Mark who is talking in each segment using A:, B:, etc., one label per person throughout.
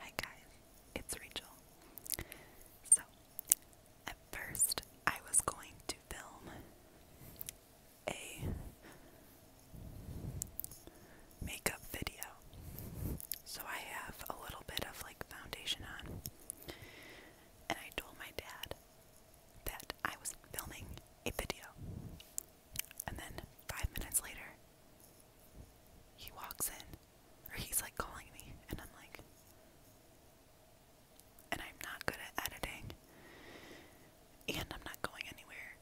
A: Hi guys, it's Rachel. So, at first I was going to film a makeup video. So I have a little bit of like foundation on. And I told my dad that I was filming a video. And then five minutes later, he walks in, or he's like calling me, and I'm like, and I'm not good at editing, and I'm not going anywhere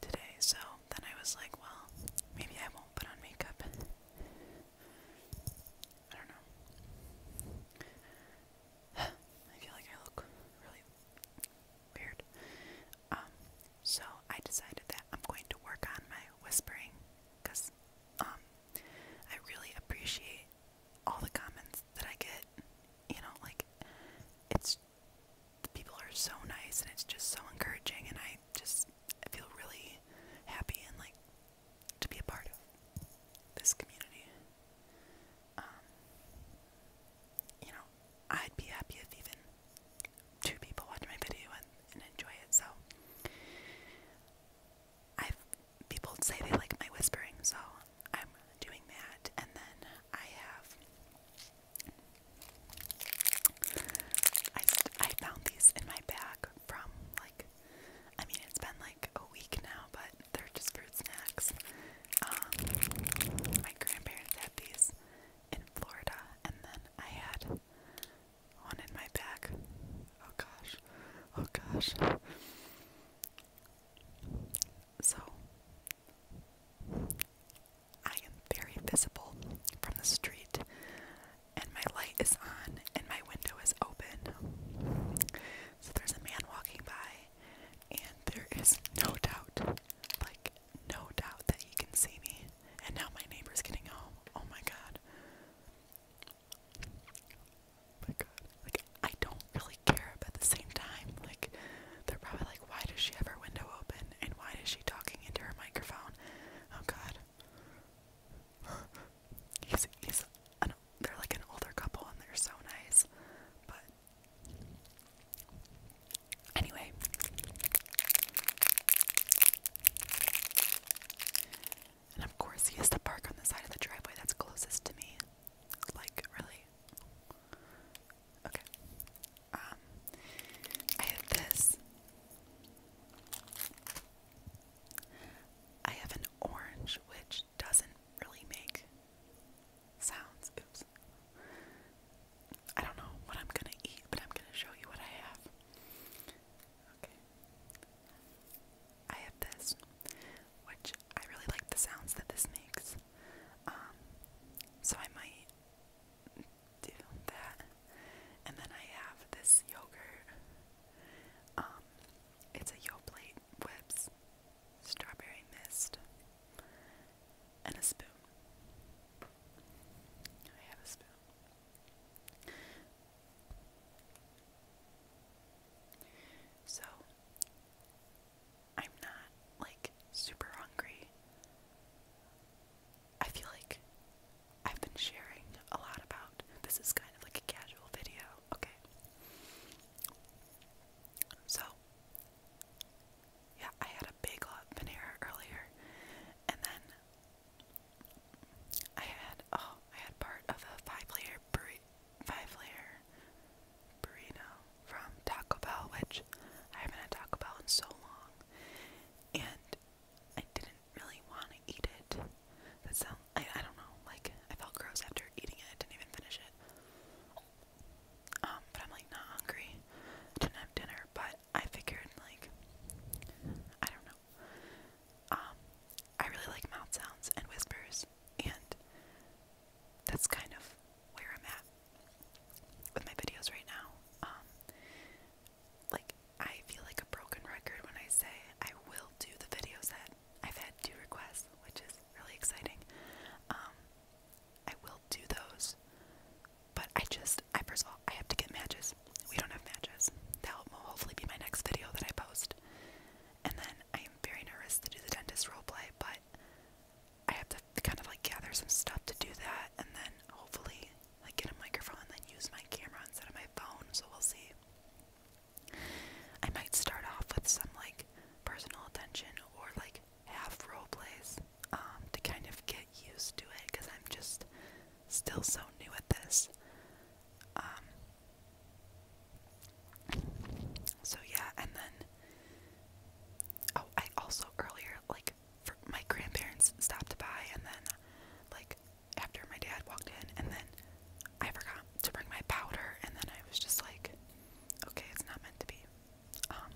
A: today. So then I was like, well, maybe I won't put on makeup. I don't know. I feel like I look really weird. Um, so I decided that I'm going to work on my whispering because um, I really appreciate all the comments that I get. You know, like it's the people are so nice and it's just so encouraging, and I just I feel really happy and like to be a part of this community. Um, you know, I'd be happy if even two people watch my video and, and enjoy it. So, I've people say they like my whispering, so I'm doing that. And then I have I I found these in my bag from like I mean it's been like a week now, but they're just fruit snacks. Um, my grandparents had these in Florida, and then I had one in my bag. Oh gosh, oh gosh. So, I am very visible from the street, and my light is on, and my window is open. So, there's a man walking by, and there is no doubt, like no doubt that you can see me. And now my neighbor's getting home. Oh my god. my god. Like I don't really care, but at the same time, like they're probably like, why does she have her window open and why is she talking into her microphone? Oh god. he's he's they're like an older couple and they're so nice, but Anyway, and of course, he has to park on the side of the driveway that's closest to me. Like, really? Okay. Um, I have this. I have an orange, which doesn't really make sounds. I don't know what I'm gonna eat, but I'm gonna show you what I have. Okay. I have this, which I really like the sounds that this makes. Um, so I might do that. And then I have this yogurt. Um, it's a Yoplait Whips Strawberry Mist and a spoon. I have a spoon. So, I'm not like super hungry. I feel like I've been sharing a lot about this is kind of like a casual video, okay? So, yeah, I had a big lot of Panera earlier, and then I had oh, I had part of a five-layer five-layer burrito from Taco Bell, which I haven't had Taco Bell in so long, and I didn't really want to eat it. That sounds I I don't know, like I felt gross after eating it. I didn't even finish it. Um, but I'm like not hungry. Didn't have dinner, but I figured like I don't know. Um, I really like mouth sounds and whispers, and that's kind of where I'm at with my videos right now. Um, like I feel like a broken record when I say I will do the videos that I've had two requests, which is really exciting. Um, I will do those. But I just, I first of all, I have to get matches. We don't have matches. That will hopefully be my next video that I post. And then I am very nervous to do the dentist role play, but I have to kind of like gather some stuff to do that, and then hopefully like get a microphone and then use my camera instead of my phone. So we'll see. I might start off with some like personal attention or like half role plays um, to kind of get used to it because I'm just still so new at this. Um, so yeah, and then oh, I also earlier like for my grandparents stopped by, and then like after my dad walked in, and then I forgot to bring my powder, and then I was just like, okay, it's not meant to be. Um,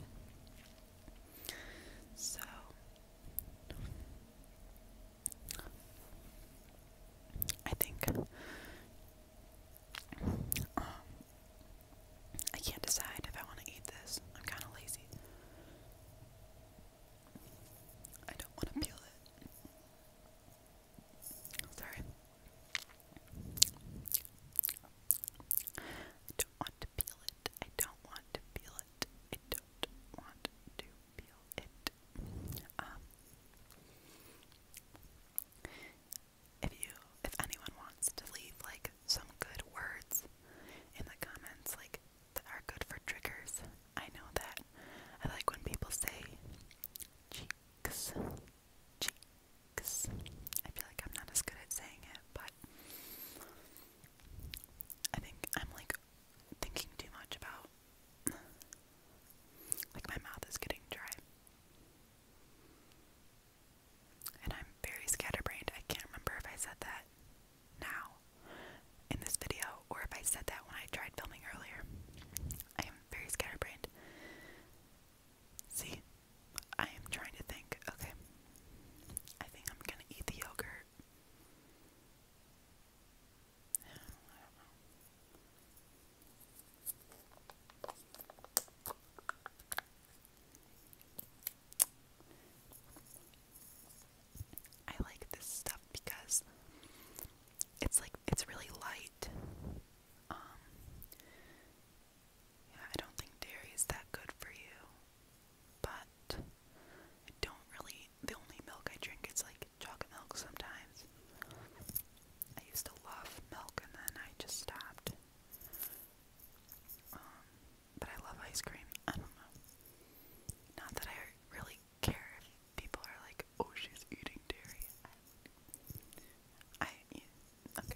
A: so I think um, I can't decide if I want to eat this. I'm kind of lazy. I don't want to peel it. Sorry. I don't want to peel it. I don't want to peel it. I don't want to peel it. Um, if you, if anyone wants to leave like some good words in the comments, like that are good for triggers, I know that I like when people say cheeks cheeks. I feel like I'm not as good at saying it, but I think I'm like thinking too much about like my mouth is getting dry. And I'm very scatterbrained. I can't remember if I said that now in this video or if I said that when I tried filming earlier. I am very scatterbrained. See, I am trying to think. Okay, I think I'm gonna eat the yogurt. I like this stuff because it's like it's really light. Um, yeah, I don't think dairy is that good for you. But I don't really the only milk I drink is like chocolate milk sometimes. I used to love milk and then I just stopped. Um, but I love ice cream. I don't know. Not that I really care if people are like, oh, she's eating dairy. I, I Okay.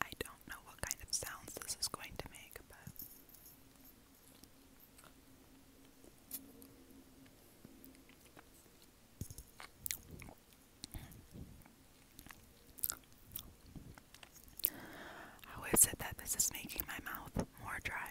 A: I don't know what kind of sounds this is going to make, but. I How is said that this is making my mouth more dry?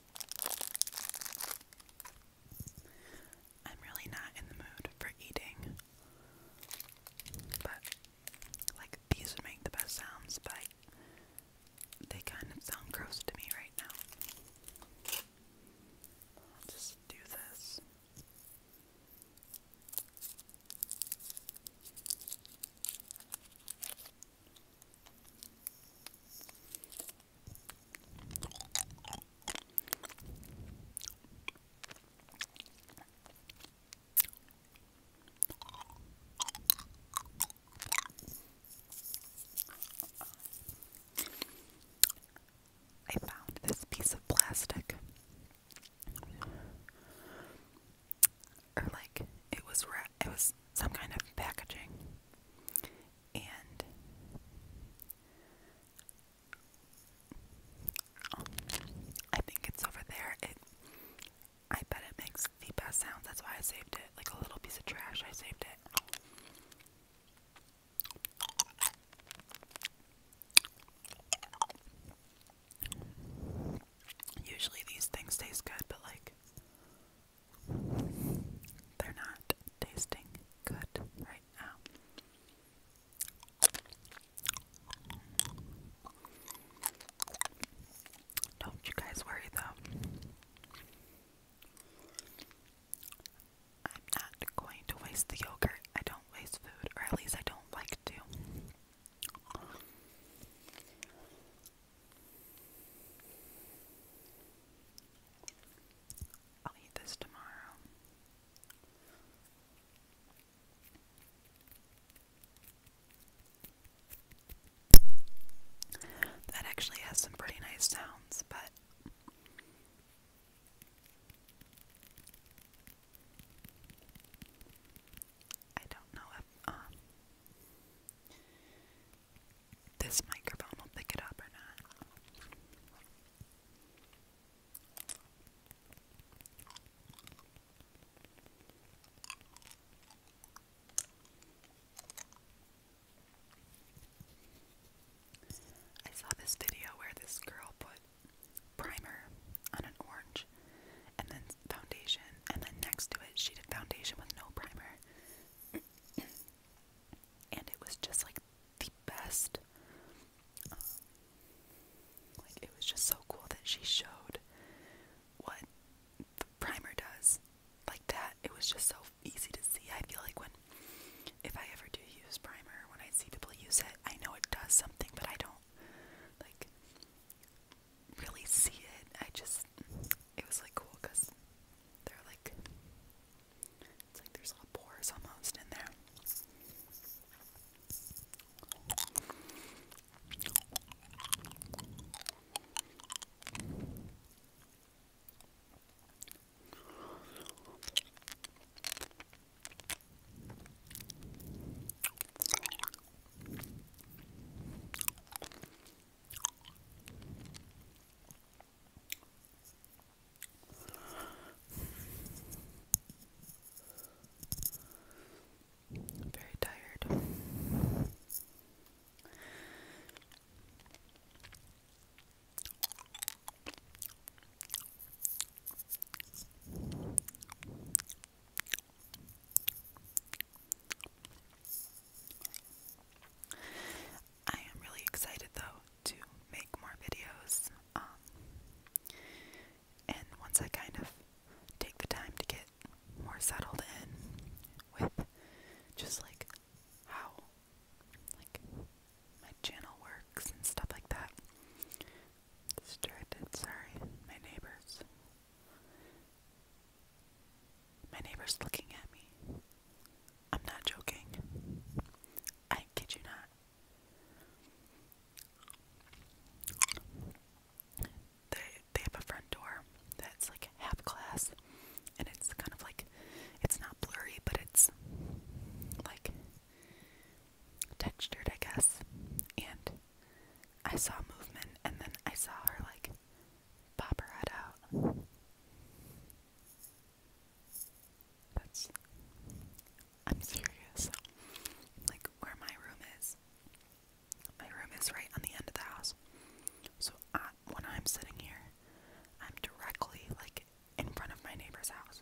A: I'm really not in the mood for eating, but like these make the best sounds, but they kind of sound gross to me right now. just do this. I found this piece of plastic. Or, like, it was wrapped it was some kind of packaging. And I think it's over there. It I bet it makes the best sounds. That's why I saved it. Like a little piece of trash, I saved it. Usually these things taste good, but like they're not tasting good right now. Don't you guys worry though. I'm not going to waste the yogurt. I don't waste food, or at least I don't like to. I'll eat this tomorrow. That actually has some pretty nice sounds, but I don't know if uh, this microphone will pick it up or not. I saw this video where this girl put primer on an orange and then foundation, and then next to it, she did foundation with no primer and it was just like the best. Um, like it was just so cool that she showed what the primer does like that. It was just so easy to see. I feel like when if I ever do use primer, when I see people use it, I know it does something, but I don't like really see it. I just it was like cool because they're like it's like there's little pores almost in there. I'm very tired. I am really excited though to make more videos. Um, and once I kind of take the time to get more settled in with just like how like my channel works and stuff like that. Distracted, sorry, my neighbors my neighbor's looking at me. I'm not joking. I kid you not. They they have a front door that's like half glass and it's kind of like it's not blurry but it's like textured I guess and I saw movement and then I saw her like Pop her head out. I'm serious. Like, where my room is, my room is right on the end of the house. So, when I'm sitting here, I'm directly, like, in front of my neighbor's house.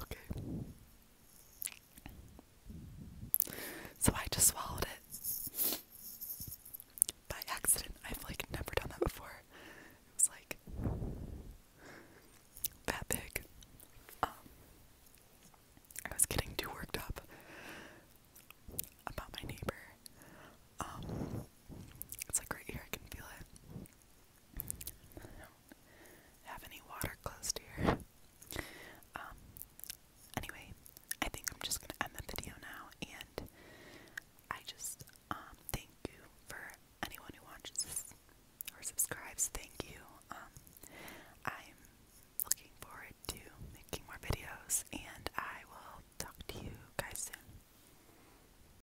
A: Okay. So I just swallowed it. By accident. I've like never done that before. It was like that big. Um, I was getting too worked up about my neighbor. Um, it's like right here I can feel it have any water close to here. Um, anyway, I think I'm just gonna end the video now, and I just um, thank you for anyone who watches or subscribes. Thank you. Um, I'm looking forward to making more videos, and I will talk to you guys soon.